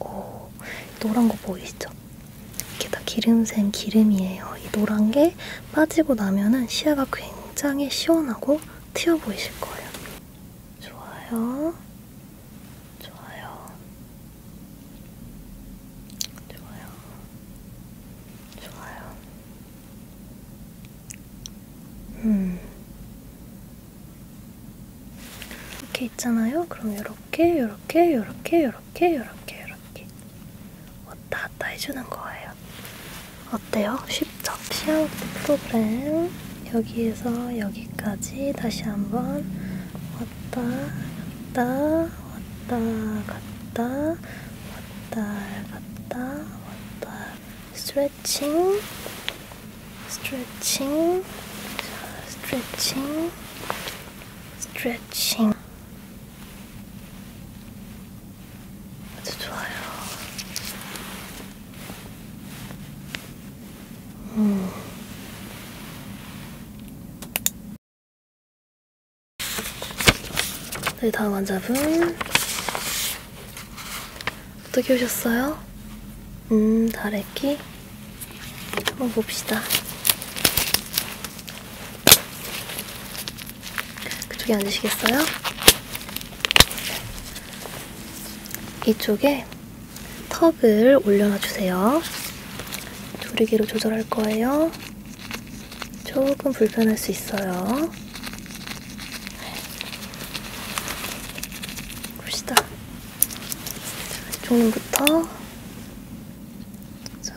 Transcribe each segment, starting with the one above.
오, 노란 거 보이시죠? 이게 다 기름샘 기름이에요. 이 노란 게 빠지고 나면은 시야가 굉장히 시원하고 튀어 보이실 거예요. 좋아요. 좋아요. 좋아요. 좋아요. 음. 이렇게 이렇게 있잖아요. 그럼 이렇게, 이렇게, 이렇게, 이렇게, 이렇게, 이렇게 왔다 갔다 해주는 거예요. 어때요? 쉽죠? 시아웃 프로그램 여기에서 여기까지 다시 한번 왔다 갔다 왔다 갔다 왔다 갔다 왔다 스트레칭 stretching, stretching, stretching. 아주 좋아요. 음. 네, 다음 환자분. 어떻게 오셨어요? 음, 다래끼? 한번 봅시다. 그쪽에 앉으시겠어요? 이쪽에 턱을 올려놔주세요. 조리개로 조절할 거예요. 조금 불편할 수 있어요. 봅시다. 종부터 자,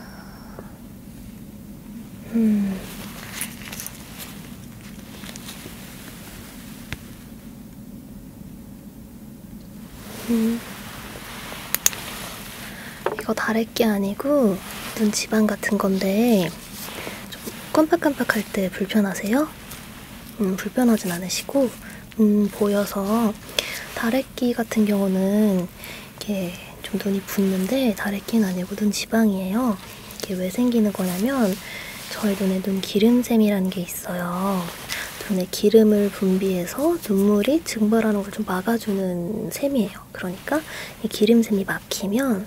음. 음. 이거 다래끼 아니고 눈 지방 같은 건데 좀 깜빡깜빡할 때 불편하세요? 음, 불편하진 않으시고 음, 보여서 다래끼 같은 경우는 이렇게 좀 눈이 붓는데 다래끼는 아니고 눈 지방이에요. 이게 왜 생기는 거냐면 저희 눈에 눈 기름샘이라는 게 있어요. 눈에 기름을 분비해서 눈물이 증발하는 걸 좀 막아주는 셈이에요. 그러니까 이 기름샘이 막히면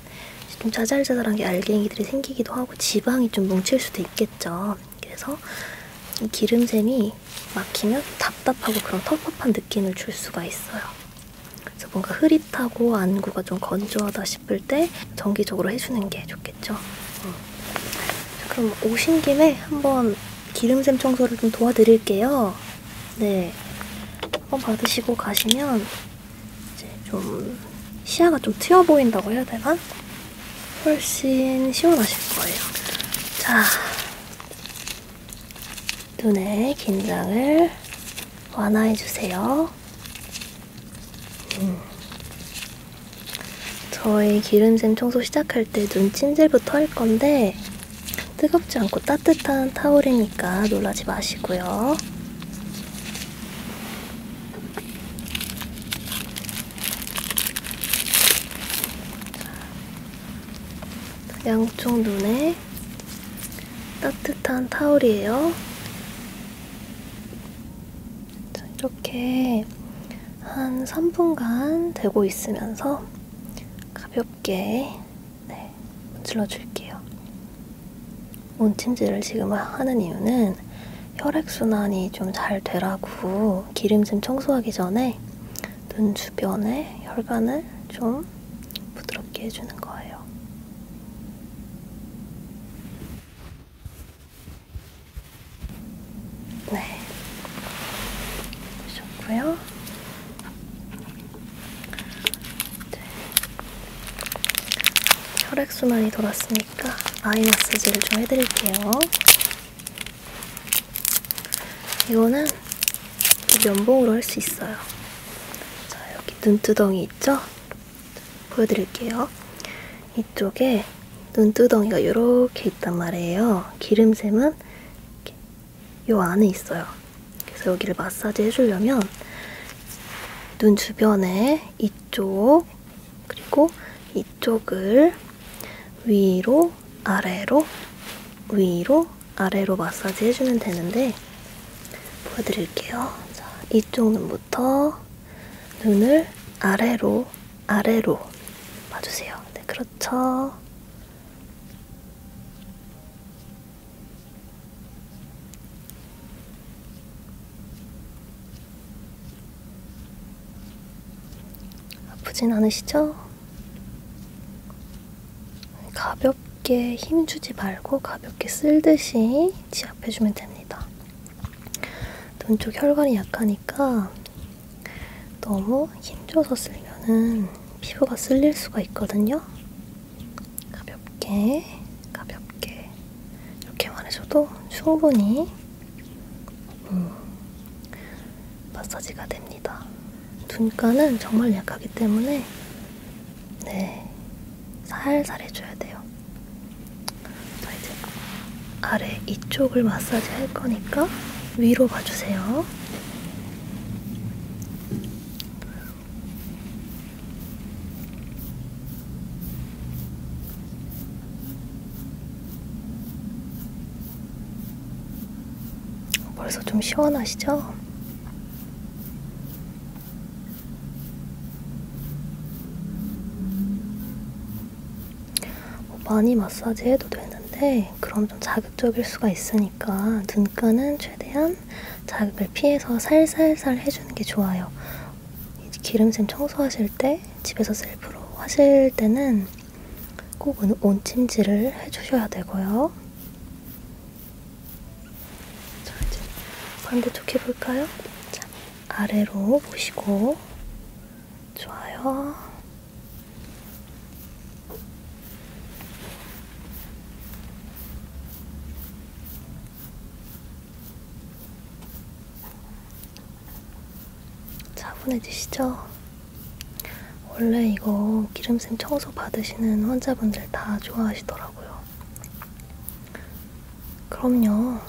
좀 자잘자잘한 게 알갱이들이 생기기도 하고 지방이 좀 뭉칠 수도 있겠죠. 그래서 이 기름샘이 막히면 답답하고 그런 텁텁한 느낌을 줄 수가 있어요. 그래서 뭔가 흐릿하고 안구가 좀 건조하다 싶을 때 정기적으로 해주는 게 좋겠죠. 음. 자, 그럼 오신 김에 한번 기름샘 청소를 좀 도와드릴게요. 네, 한번 받으시고 가시면 이제 좀 시야가 좀 트여 보인다고 해야 되나? 훨씬 시원하실 거예요. 자, 눈의 긴장을 완화해주세요. 음. 저희 기름샘 청소 시작할 때 눈 찜질부터 할 건데 뜨겁지 않고 따뜻한 타올이니까 놀라지 마시고요. 양쪽 눈에 따뜻한 타올이에요. 자, 이렇게 한 3분간 대고 있으면서 가볍게 네, 문질러 줄게요. 온찜질을 지금 하는 이유는 혈액순환이 좀 잘 되라고 기름진 청소하기 전에 눈 주변에 혈관을 좀 부드럽게 해주는 거예요. 네. 좋고요. 네. 혈액순환이 돌았습니다. 있으니까 아이 마사지를 좀 해드릴게요. 이거는 면봉으로 할 수 있어요. 자, 여기 눈두덩이 있죠? 보여드릴게요. 이쪽에 눈두덩이가 이렇게 있단 말이에요. 기름샘은 이 안에 있어요. 그래서 여기를 마사지 해주려면 눈 주변에 이쪽 그리고 이쪽을 위로 아래로 위로 아래로 마사지 해주면 되는데 보여드릴게요. 자, 이쪽 눈부터 눈을 아래로 아래로 봐주세요. 네, 그렇죠. 아프진 않으시죠? 가볍게 힘주지 말고 가볍게 쓸듯이 지압해주면 됩니다. 눈 쪽 혈관이 약하니까 너무 힘줘서 쓸면은 피부가 쓸릴 수가 있거든요. 가볍게, 가볍게. 이렇게만 해줘도 충분히 음, 마사지가 됩니다. 눈가는 정말 약하기 때문에 네 살살 해줘야 돼요. 자 이제 아래 이쪽을 마사지 할 거니까 위로 봐주세요. 벌써 좀 시원하시죠? 뭐 많이 마사지 해도 되는데 그럼 좀 자극적일 수가 있으니까 눈가는 최대한 자극을 피해서 살살살 해주는 게 좋아요. 기름샘 청소하실 때 집에서 셀프로 하실 때는 꼭 온침질을 해주셔야 되고요. 자, 이제 반대쪽 해볼까요? 자, 아래로 보시고 좋아요. 차분해지시죠? 원래 이거 기름샘 청소 받으시는 환자분들 다 좋아하시더라고요. 그럼요.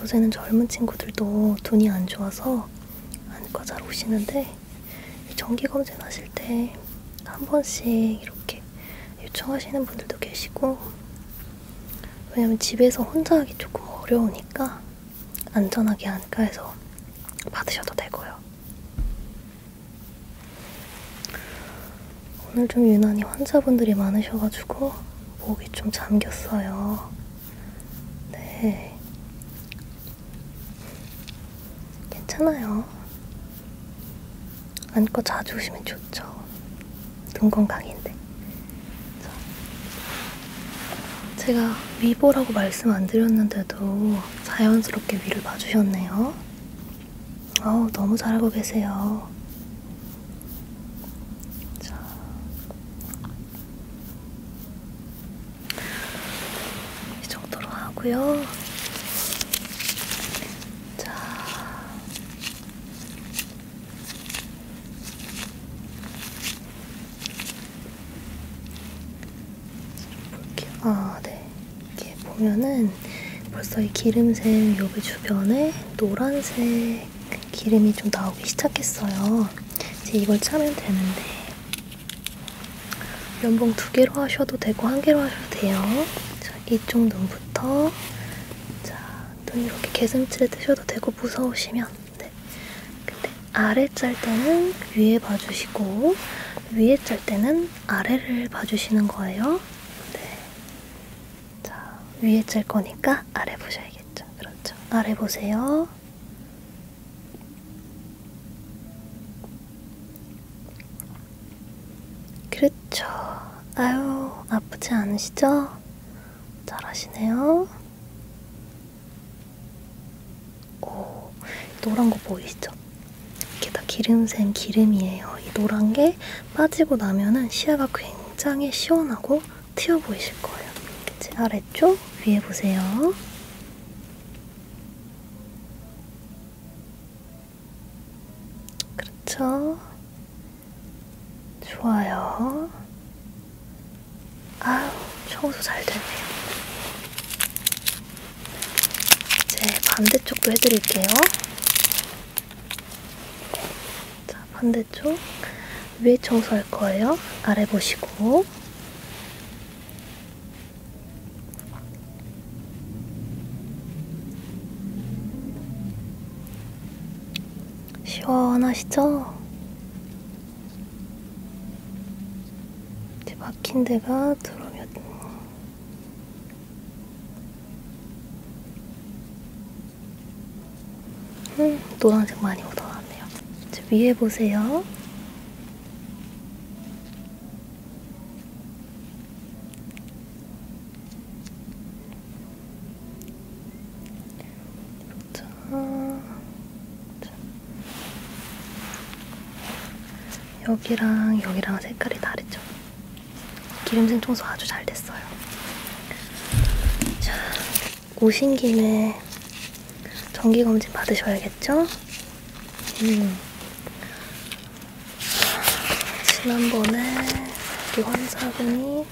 요새는 젊은 친구들도 눈이 안 좋아서 안과 잘 오시는데 정기검진 하실 때 한 번씩 이렇게 요청하시는 분들도 계시고 왜냐면 집에서 혼자 하기 조금 어려우니까 안전하게 안가에서 받으셔도 되고요. 오늘 좀 유난히 환자분들이 많으셔가지고 목이 좀 잠겼어요. 네. 괜찮아요. 안고 자주 오시면 좋죠. 눈 건강인데. 자. 제가 위보라고 말씀 안 드렸는데도 자연스럽게 위를 봐주셨네요. 어우, 너무 잘하고 계세요. 자. 이 정도로 하고요. 자. 볼게요. 아, 네. 이렇게 보면은 벌써 이 기름샘 여기 주변에 노란색 기름이 좀 나오기 시작했어요. 이제 이걸 차면 되는데 면봉 두 개로 하셔도 되고 한 개로 하셔도 돼요. 자, 이쪽 눈부터 자, 눈 이렇게 개슴츠레 뜨셔도 되고 무서우시면 네. 근데 아래 짤 때는 위에 봐주시고 위에 짤 때는 아래를 봐주시는 거예요. 네. 자, 위에 짤 거니까 아래 보셔야겠죠. 그렇죠. 아래 보세요. 그렇죠. 아유, 아프지 않으시죠? 잘하시네요. 오, 노란 거 보이시죠? 이게 다 기름샘 기름이에요. 이 노란 게 빠지고 나면은 시야가 굉장히 시원하고 튀어 보이실 거예요. 제 아래쪽 위에 보세요. 그렇죠. 좋아요. 아유, 청소 잘 되네요. 이제 반대쪽도 해드릴게요. 네, 자, 반대쪽. 위에 청소할 거예요. 아래 보시고. 시원하시죠? 이제 막힌 데가 들어오면 음, 노란색 많이 묻어났네요. 이제 위에 보세요. 자, 자. 여기랑 여기랑 색깔이 다르죠? 기름생 청소 아주 잘 됐어요. 자, 오신 김에 정기검진 받으셔야겠죠? 음. 지난번에 우리 그 환자분이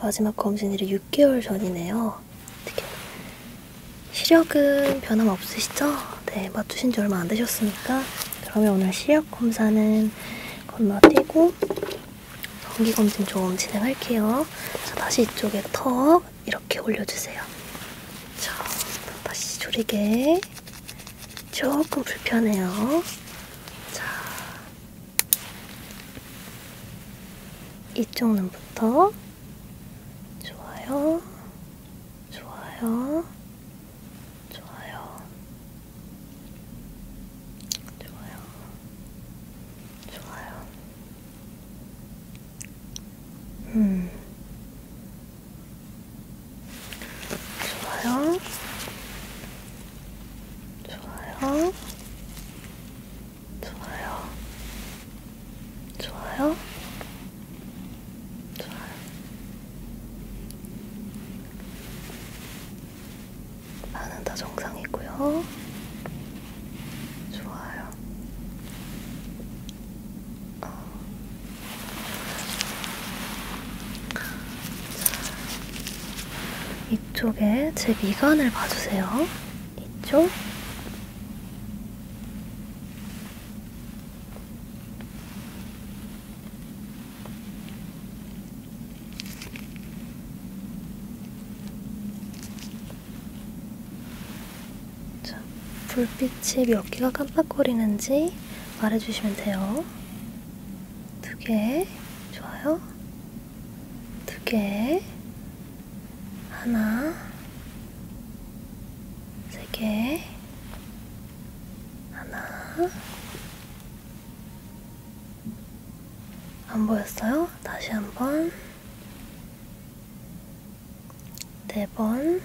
마지막 검진일이 6개월 전이네요. 어떻게 시력은 변함없으시죠? 네, 맞추신 지 얼마 안 되셨으니까 그러면 오늘 시력 검사는 건너뛰고 전기 검진 좀 진행할게요. 자, 다시 이쪽에 턱 이렇게 올려주세요. 자, 다시 조리개 조금 불편해요. 자, 이쪽 눈부터 좋아요, 좋아요, 좋아요, 좋아요, 좋아요. 음, 좋아요. 좋아요. 좋아요. 좋아요. 좋아요. 나는 다 정상이고요. 좋아요. 어, 이쪽에 제 미간을 봐주세요. 이쪽. 자, 불빛이 몇 개가 깜빡거리는지 있는지 말해주시면 돼요. 두 개, 좋아요. 두 개, 하나, 세 개, 하나. 안 보였어요? 다시 한 번. 네 번,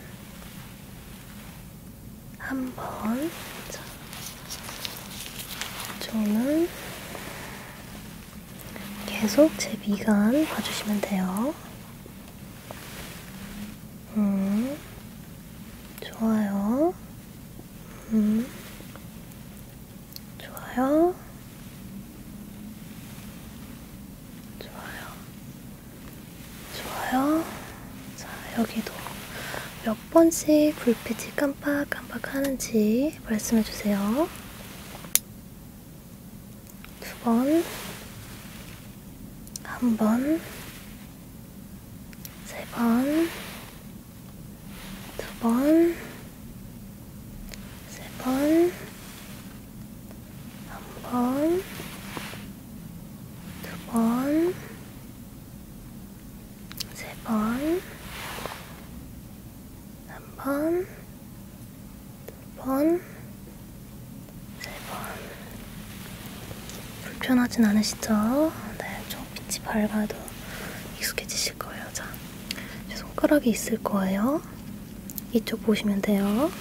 한번 자, 저는 계속 제 미간 봐주시면 돼요. 음, 좋아요. 음, 좋아요. 좋아요. 좋아요. 자, 여기도 몇 번씩 불빛이 깜빡깜빡 하는지 말씀해 주세요. 두 번, 한 번, 세 번, 두 번, 세 번, 한 번, 두 번, 세 번, 한 번, 두 번, 세 번. 불편하진 않으시죠? 네, 좀 빛이 밝아도 익숙해지실 거예요. 자, 손가락이 있을 거예요. 이쪽 보시면 돼요.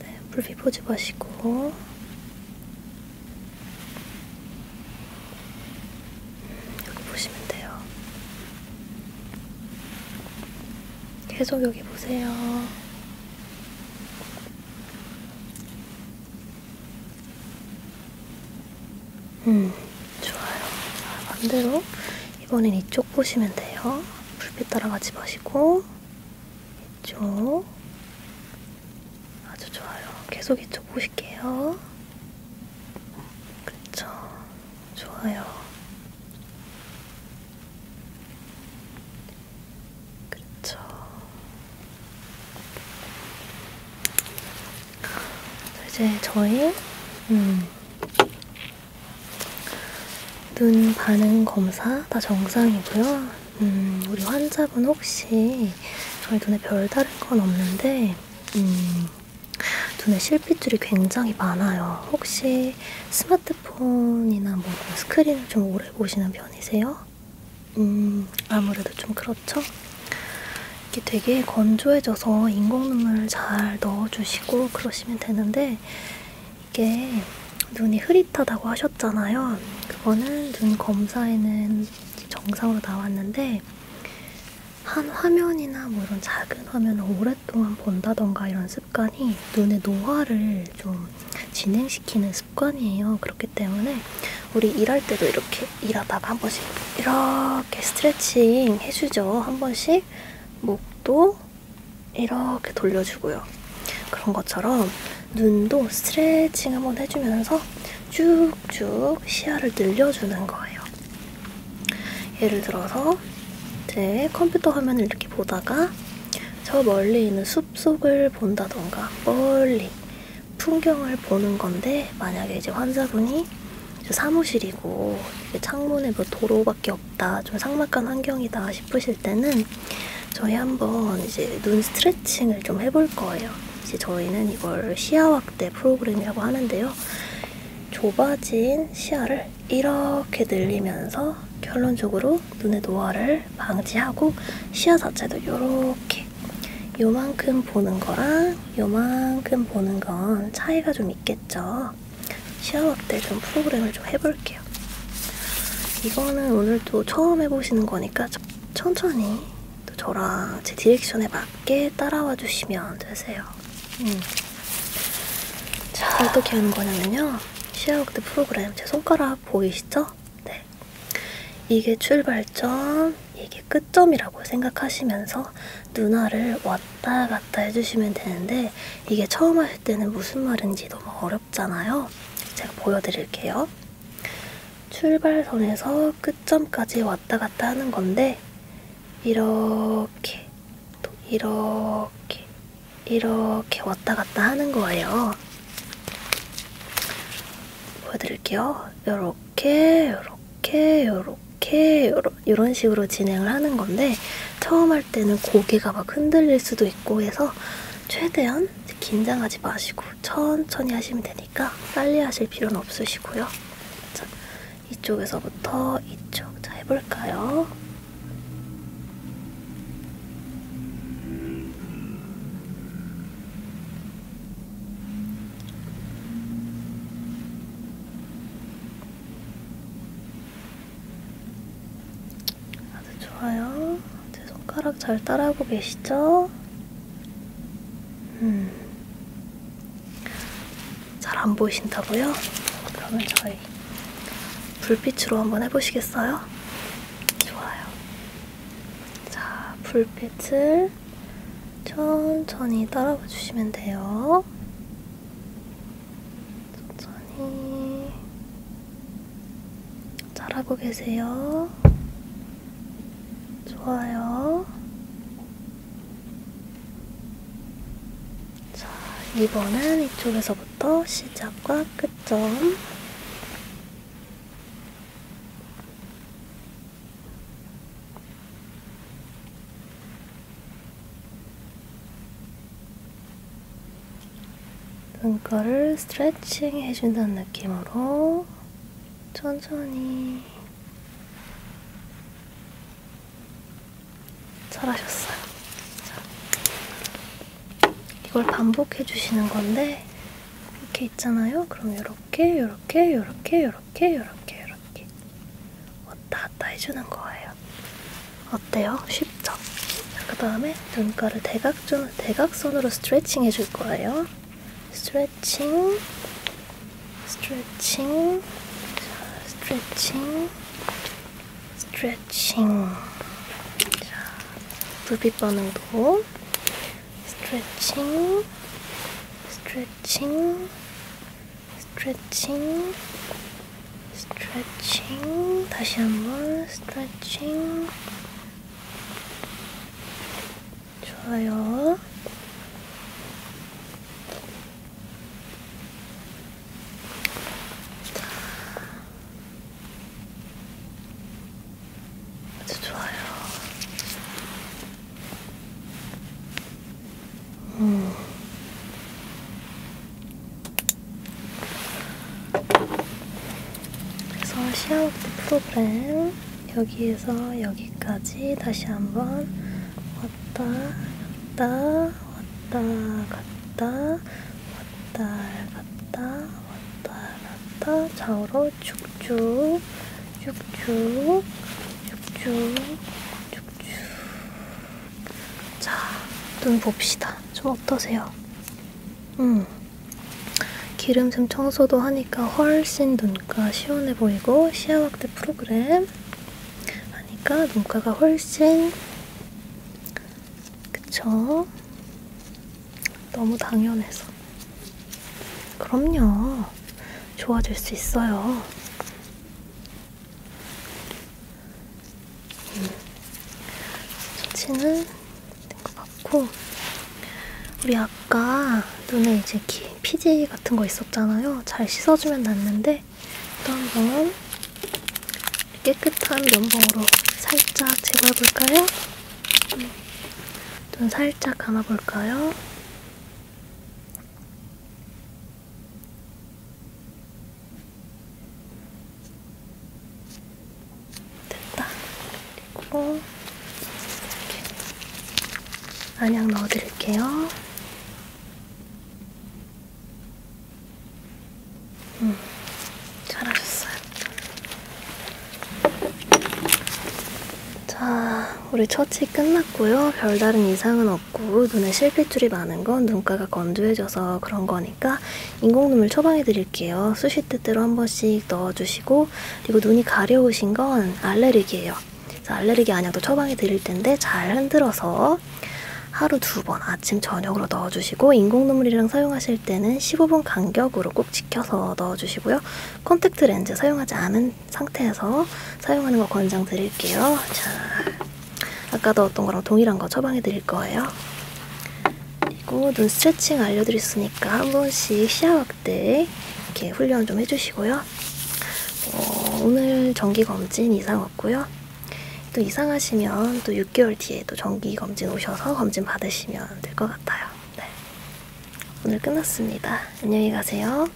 네, 불빛 포즈 보시고 여기 보시면 돼요. 계속 여기 보세요. 음, 좋아요. 자, 반대로 이번엔 이쪽 보시면 돼요. 불빛 따라가지 마시고 이쪽. 아주 좋아요. 계속 이쪽 보실게요. 그쵸. 좋아요. 그쵸. 이제 저희, 음, 눈 반응 검사 다 정상이고요. 음, 우리 환자분 혹시 저희 눈에 별다른 건 없는데 음, 눈에 실핏줄이 굉장히 많아요. 혹시 스마트폰이나 뭐 스크린을 좀 오래 보시는 편이세요? 음, 아무래도 좀 그렇죠? 이게 되게 건조해져서 인공눈을 잘 넣어주시고 그러시면 되는데 이게 눈이 흐릿하다고 하셨잖아요. 그거는 눈 검사에는 정상으로 나왔는데 한 화면이나 뭐 이런 작은 화면을 오랫동안 본다던가 이런 습관이 눈의 노화를 좀 진행시키는 습관이에요. 그렇기 때문에 우리 일할 때도 이렇게 일하다가 한 번씩 이렇게 스트레칭 해주죠. 한 번씩 목도 이렇게 돌려주고요. 그런 것처럼 눈도 스트레칭 한번 해주면서 쭉쭉 시야를 늘려주는 거예요. 예를 들어서 제 컴퓨터 화면을 이렇게 보다가 저 멀리 있는 숲속을 본다던가 멀리 풍경을 보는 건데 만약에 이제 환자분이 사무실이고 창문에 뭐 도로밖에 없다, 좀 삭막한 환경이다 싶으실 때는 저희 한번 이제 눈 스트레칭을 좀 해볼 거예요. 이제 저희는 이걸 시야 확대 프로그램이라고 하는데요. 좁아진 시야를 이렇게 늘리면서 결론적으로 눈의 노화를 방지하고 시야 자체도 이렇게 요만큼 보는 거랑 요만큼 보는 건 차이가 좀 있겠죠. 시야 확대 좀 프로그램을 좀 해볼게요. 같아요. 이거는 오늘 또 처음 해보시는 거니까 천천히 또 저랑 제 디렉션에 맞게 따라와 주시면 되세요. 음. 자, 어떻게 하는 거냐면요. 시아워크드 프로그램 제 손가락 보이시죠? 네. 이게 출발점, 이게 끝점이라고 생각하시면서 누나를 왔다 갔다 해주시면 되는데 이게 처음 할할 때는 무슨 말인지 너무 뭐 어렵잖아요. 제가 보여드릴게요. 출발선에서 끝점까지 왔다 갔다 하는 건데, 이렇게, 또 이렇게, 이렇게 왔다 갔다 하는 거예요. 보여드릴게요. 요렇게, 요렇게, 요렇게, 요런 식으로 진행을 하는 건데, 처음 할 때는 고개가 막 흔들릴 수도 있고 해서 최대한 긴장하지 마시고 천천히 하시면 되니까 빨리 하실 필요는 없으시고요. 자, 이쪽에서부터 이쪽. 자, 해볼까요? 아주 좋아요. 제 손가락 잘 따라하고 계시죠? 음. 잘 안 보이신다고요? 그러면 저희 불빛으로 한번 해보시겠어요? 좋아요. 자, 불빛을 천천히 따라와 주시면 돼요. 천천히 잘하고 계세요. 좋아요. 자, 이번엔 이쪽에서부터 시작과 끝점. 눈가를 스트레칭 해준다는 느낌으로 천천히 잘하셨어요. 자, 이걸 반복해 주시는 건데 이렇게 있잖아요. 그럼 이렇게, 이렇게, 이렇게, 이렇게, 이렇게, 이렇게 왔다 갔다 해주는 거예요. 거예요. 어때요? 쉽죠? 그 다음에 눈가를 대각선, 대각선으로 스트레칭 해줄 거예요. 스트레칭, 스트레칭, 자, 스트레칭, 스트레칭. 자, 불빛 반응도 스트레칭, 스트레칭, 스트레칭, 스트레칭 다시 한번 스트레칭 좋아요 자, 아주 좋아요 음. 그래서 시아워드 프로그램 여기에서 여기까지 다시 한번 왔다 갔다 왔다 갔다 왔다 갔다 왔다 갔다 좌우로 쭉쭉 쭉쭉 쭉쭉 쭉쭉 자, 눈 봅시다. 좀 어떠세요? 음. 기름샘 청소도 하니까 훨씬 눈가 시원해 보이고 시야 확대 프로그램 하니까 눈가가 훨씬 그쵸? 너무 당연해서 그럼요. 좋아질 수 있어요. 소치는 된 것 같고 우리 아까 눈에 이제 기, 피지 같은 거 있었잖아요. 잘 씻어주면 났는데 또 한 번 깨끗한 면봉으로 살짝 제거해볼까요? 음, 눈 살짝 감아볼까요? 됐다. 그리고 이렇게 안약 넣어드릴게요. 음, 잘하셨어요. 자, 우리 처치 끝났고요. 별다른 이상은 없고 없고 눈에 실핏줄이 많은 건 눈가가 건조해져서 그런 거니까 인공눈물 처방해 드릴게요. 수시 때때로 한 번씩 넣어주시고 그리고 눈이 가려우신 건 알레르기예요. 그래서 알레르기 안약도 처방해 드릴 텐데 잘 흔들어서 하루 두 번 아침 저녁으로 넣어주시고 인공눈물이랑 사용하실 때는 15분 간격으로 꼭 지켜서 넣어주시고요. 컨택트 렌즈 사용하지 않은 상태에서 사용하는 거 권장 드릴게요. 자. 아까 넣었던 거랑 동일한 거 처방해 드릴 거예요. 그리고 눈 스트레칭 알려드렸으니까 한 번씩 시야학 때 이렇게 훈련 좀 해주시고요. 어, 오늘 정기검진 이상 없고요. 또 이상하시면 또 6개월 뒤에 또 정기검진 오셔서 검진 받으시면 될 것 같아요. 네. 오늘 끝났습니다. 안녕히 가세요.